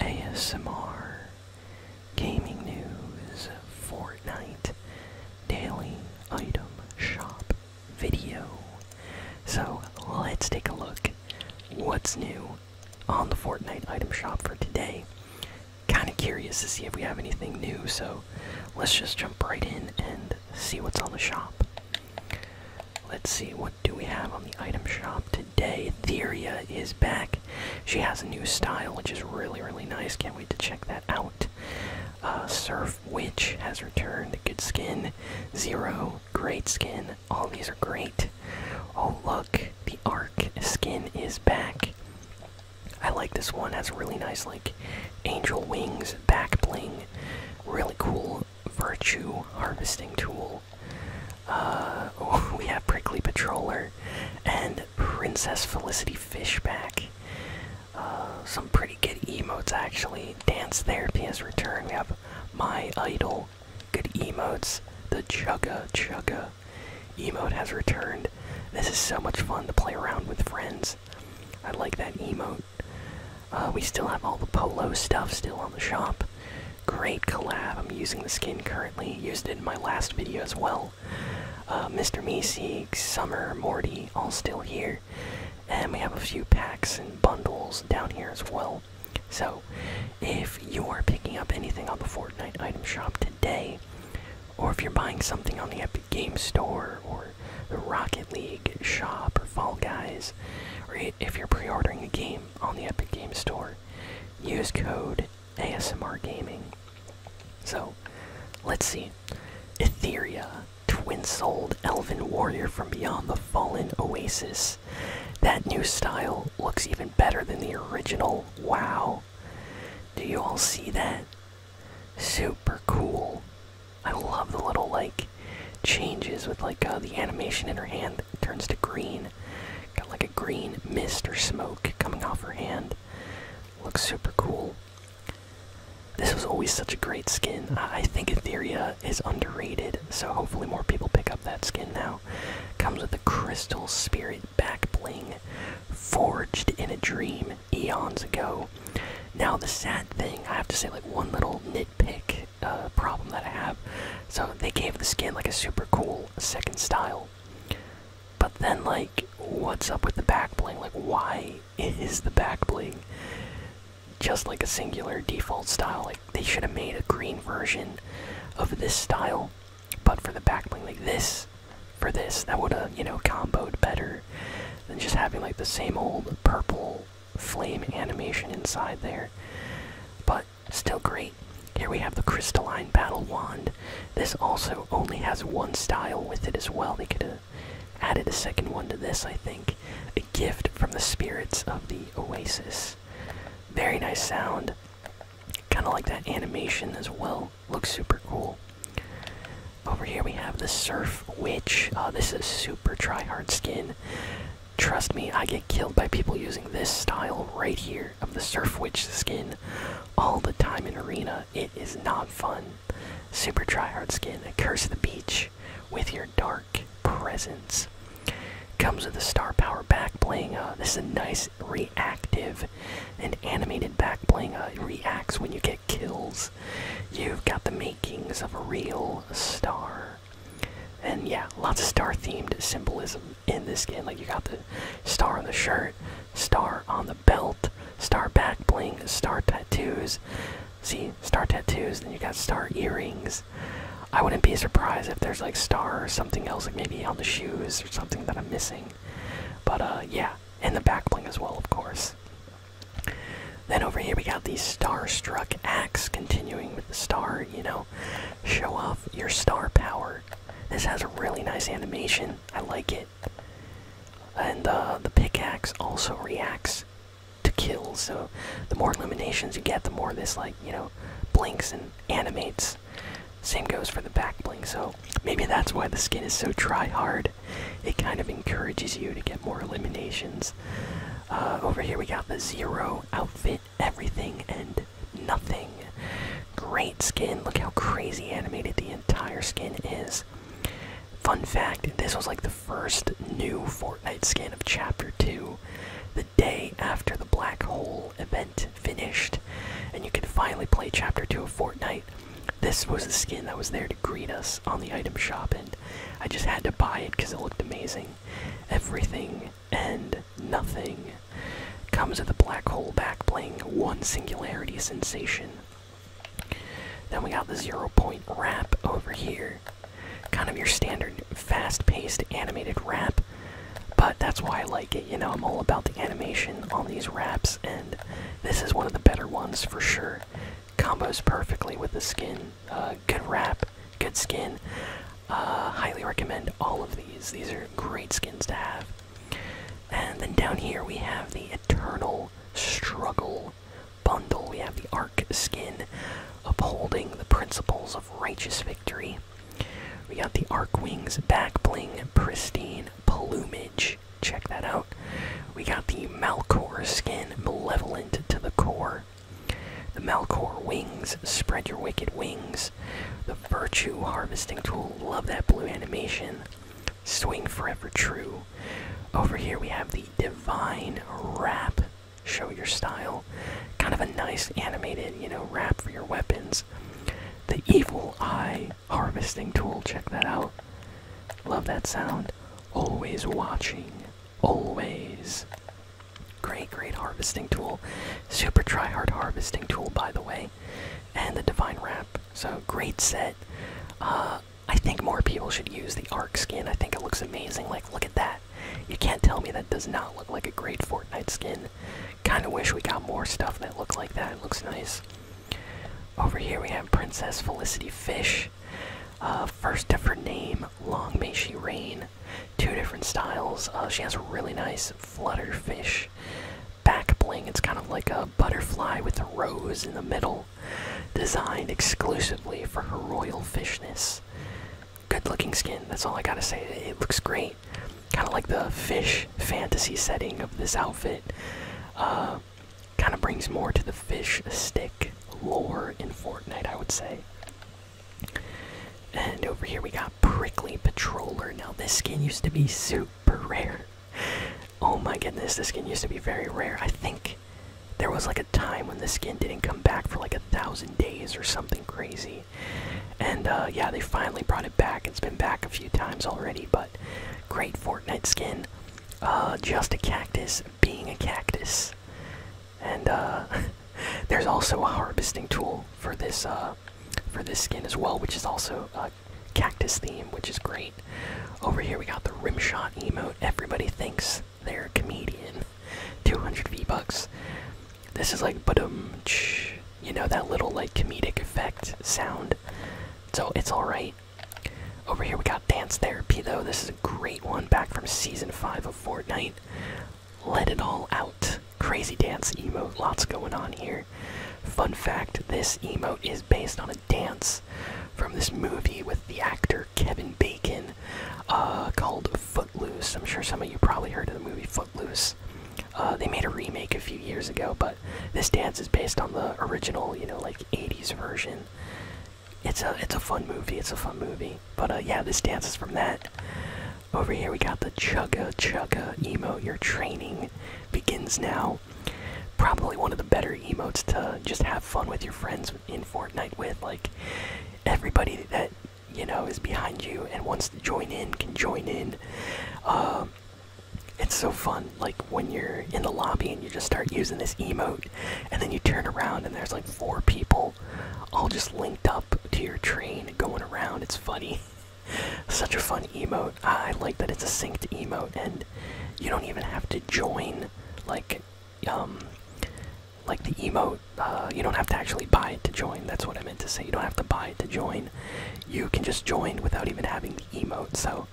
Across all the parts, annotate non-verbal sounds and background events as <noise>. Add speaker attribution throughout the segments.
Speaker 1: ASMR, gaming news, Fortnite, daily item shop video. So let's take a look what's new on the Fortnite item shop for today. Kind of curious to see if we have anything new, so let's just jump right in and see what's on the shop. Let's see what what do we have on the item shop today? Theria is back. She has a new style, which is really, really nice. Can't wait to check that out. Uh, Surf Witch has returned. Good skin. Zero. Great skin. All these are great. Oh, look. The Arc skin is back. I like this one. Has really nice, like, angel wings, back bling. Really cool Virtue Harvesting Tool. Uh, <laughs> we have Prickly Patroller and Princess Felicity Fishback. Uh, some pretty good emotes actually. Dance Therapy has returned. We have My Idol. Good emotes. The Chugga Chugga emote has returned. This is so much fun to play around with friends. I like that emote. Uh, we still have all the polo stuff still on the shop. Great collab. I'm using the skin currently. Used it in my last video as well. Uh, Mr. Meeseek, Summer, Morty, all still here. And we have a few packs and bundles down here as well. So, if you are picking up anything on the Fortnite item shop today, or if you're buying something on the Epic Games Store or the Rocket League shop or Fall Guys, or if you're pre-ordering a game on the Epic Games Store, use code ASMR Gaming. So, let's see. Etherea, twin-souled elven warrior from beyond the fallen oasis. That new style looks even better than the original. Wow. Do you all see that? Super cool. I love the little lake changes with like uh, the animation in her hand turns to green. Got like a green mist or smoke coming off her hand. Looks super cool. This was always such a great skin. I think Etheria is underrated, so hopefully more people pick up that skin now. Comes with a crystal spirit back bling, forged in a dream eons ago. Now the sad thing, I have to say like one little nitpick uh, problem that I have. So they gave the skin like a super cool second style. But then, like, what's up with the back bling? Like, why is the back bling just like a singular default style? Like, they should have made a green version of this style, but for the back bling, like this, for this, that would have, you know, comboed better than just having like the same old purple flame animation inside there. But still great. Here we have the crystalline battle wand. This also only has one style with it as well. They could have added a second one to this, I think. A gift from the spirits of the oasis. Very nice sound. Kind of like that animation as well. Looks super cool. Over here we have the Surf Witch. Uh, this is a super try-hard skin. Trust me, I get killed by people using this style right here of the Surf Witch skin all the time in Arena. It is not fun. Super tryhard skin, curse the beach with your dark presence. Comes with a star power back bling. Uh, this is a nice reactive and animated back bling. Uh, reacts when you get kills. You've got the makings of a real star. And yeah, lots of star themed symbolism in this skin. Like you got the star on the shirt, star on the belt, star back bling, star tattoos. See, star tattoos, then you got star earrings. I wouldn't be surprised if there's like star or something else, like maybe on the shoes or something that I'm missing. But uh, yeah, and the back bling as well, of course. Then over here we got the Starstruck axes, continuing with the star, you know, show off your star power. This has a really nice animation. I like it. And uh, the pickaxe also reacts to kills, so the more eliminations you get, the more this, like, you know, blinks and animates. Same goes for the back blink, so maybe that's why the skin is so try hard. It kind of encourages you to get more eliminations. Uh, over here we got the zero outfit, everything and nothing. Great skin. Look how crazy animated the entire skin is. Fun fact this was like the first new Fortnite skin of Chapter 2 the day after the Black Hole event finished, and you could finally play Chapter 2 of Fortnite. This was the skin that was there to greet us on the item shop, and I just had to buy it because it looked amazing everything and nothing comes with the black hole back, playing one singularity sensation then we got the zero point wrap over here kind of your standard fast-paced animated wrap but that's why i like it you know i'm all about the animation on these wraps and this is one of the better ones for sure combos perfectly with the skin uh, good wrap, good skin. Uh, highly recommend all of these. These are great skins to have. And then down here we have the Eternal Struggle bundle. We have the Ark skin, upholding the principles of righteous victory. We got the Ark Wings back bling, pristine plumage. Check that out. We got the Malcor skin, malevolent to the core. The Melkor wings, spread your wicked wings. The Virtue harvesting tool, love that blue animation. Swing forever true. Over here we have the Divine rap. show your style. Kind of a nice animated, you know, rap for your weapons. The Evil Eye harvesting tool, check that out. Love that sound. Always watching always. Great, great harvesting tool. Super try hard harvesting tool, by the way. And the divine wrap. So, great set. Uh, I think more people should use the arc skin. I think it looks amazing. Like, look at that. You can't tell me that does not look like a great Fortnite skin. Kind of wish we got more stuff that looked like that. It looks nice. Over here we have Princess Felicity Fish. Uh, first ever name, Long May She Reign two different styles. Uh, she has a really nice flutterfish back bling. It's kind of like a butterfly with a rose in the middle, designed exclusively for her royal fishness. Good looking skin, that's all I gotta say. It looks great. Kind of like the fish fantasy setting of this outfit. Uh, kind of brings more to the fish stick lore in Fortnite, I would say. And over here we got Prickly Patroller. Now, this skin used to be super <laughs> rare. Oh my goodness, this skin used to be very rare. I think there was like a time when the skin didn't come back for like a thousand days or something crazy. And uh, yeah, they finally brought it back. It's been back a few times already, but great Fortnite skin. Uh, just a cactus being a cactus and uh, <laughs> there's also a harvesting tool for this uh, for this skin as well, which is also a uh, cactus theme, which is great. Over here we got the rimshot emote. Everybody thinks they're a comedian. 200 V bucks. This is like um, you know that little like comedic effect sound. So it's all right. Over here we got dance therapy though. This is a great one back from season five of Fortnite. Let it all out. Crazy dance emote, lots going on here. Fun fact this emote is based on a dance from this movie with the actor Kevin Bacon uh, called Footloose. I'm sure some of you probably heard of the movie Footloose. Uh, they made a remake a few years ago, but this dance is based on the original, you know, like 80s version it's a it's a fun movie. It's a fun movie. But uh, yeah, this dance is from that. Over here we got the chugga chugga emote. Your training begins now. Probably one of the better emotes to just have fun with your friends in Fortnite with. Like everybody that you know is behind you and wants to join in can join in. Um, it's so fun. Like when you're in the lobby and you just start using this emote, and then you turn around and there's like four people all just linked up to your train going around. It's funny. <laughs> Such a fun emote. I like that it's a synced emote and you don't even have to join like um like the emote uh, you don't have to actually buy it to join that's what i meant to say you don't have to buy it to join you can just join without even having the emote so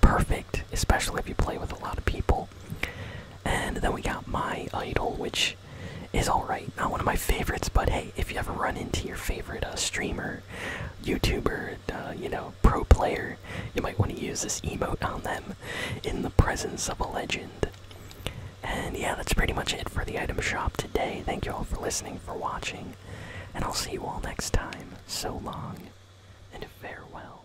Speaker 1: perfect especially if you play with a lot of people and then we got my idol, which is alright, not one of my favorites, but hey, if you ever run into your favorite uh, streamer, YouTuber, uh, you know, pro player, you might want to use this emote on them in the presence of a legend. And yeah, that's pretty much it for the item shop today. Thank you all for listening, for watching, and I'll see you all next time. So long, and farewell.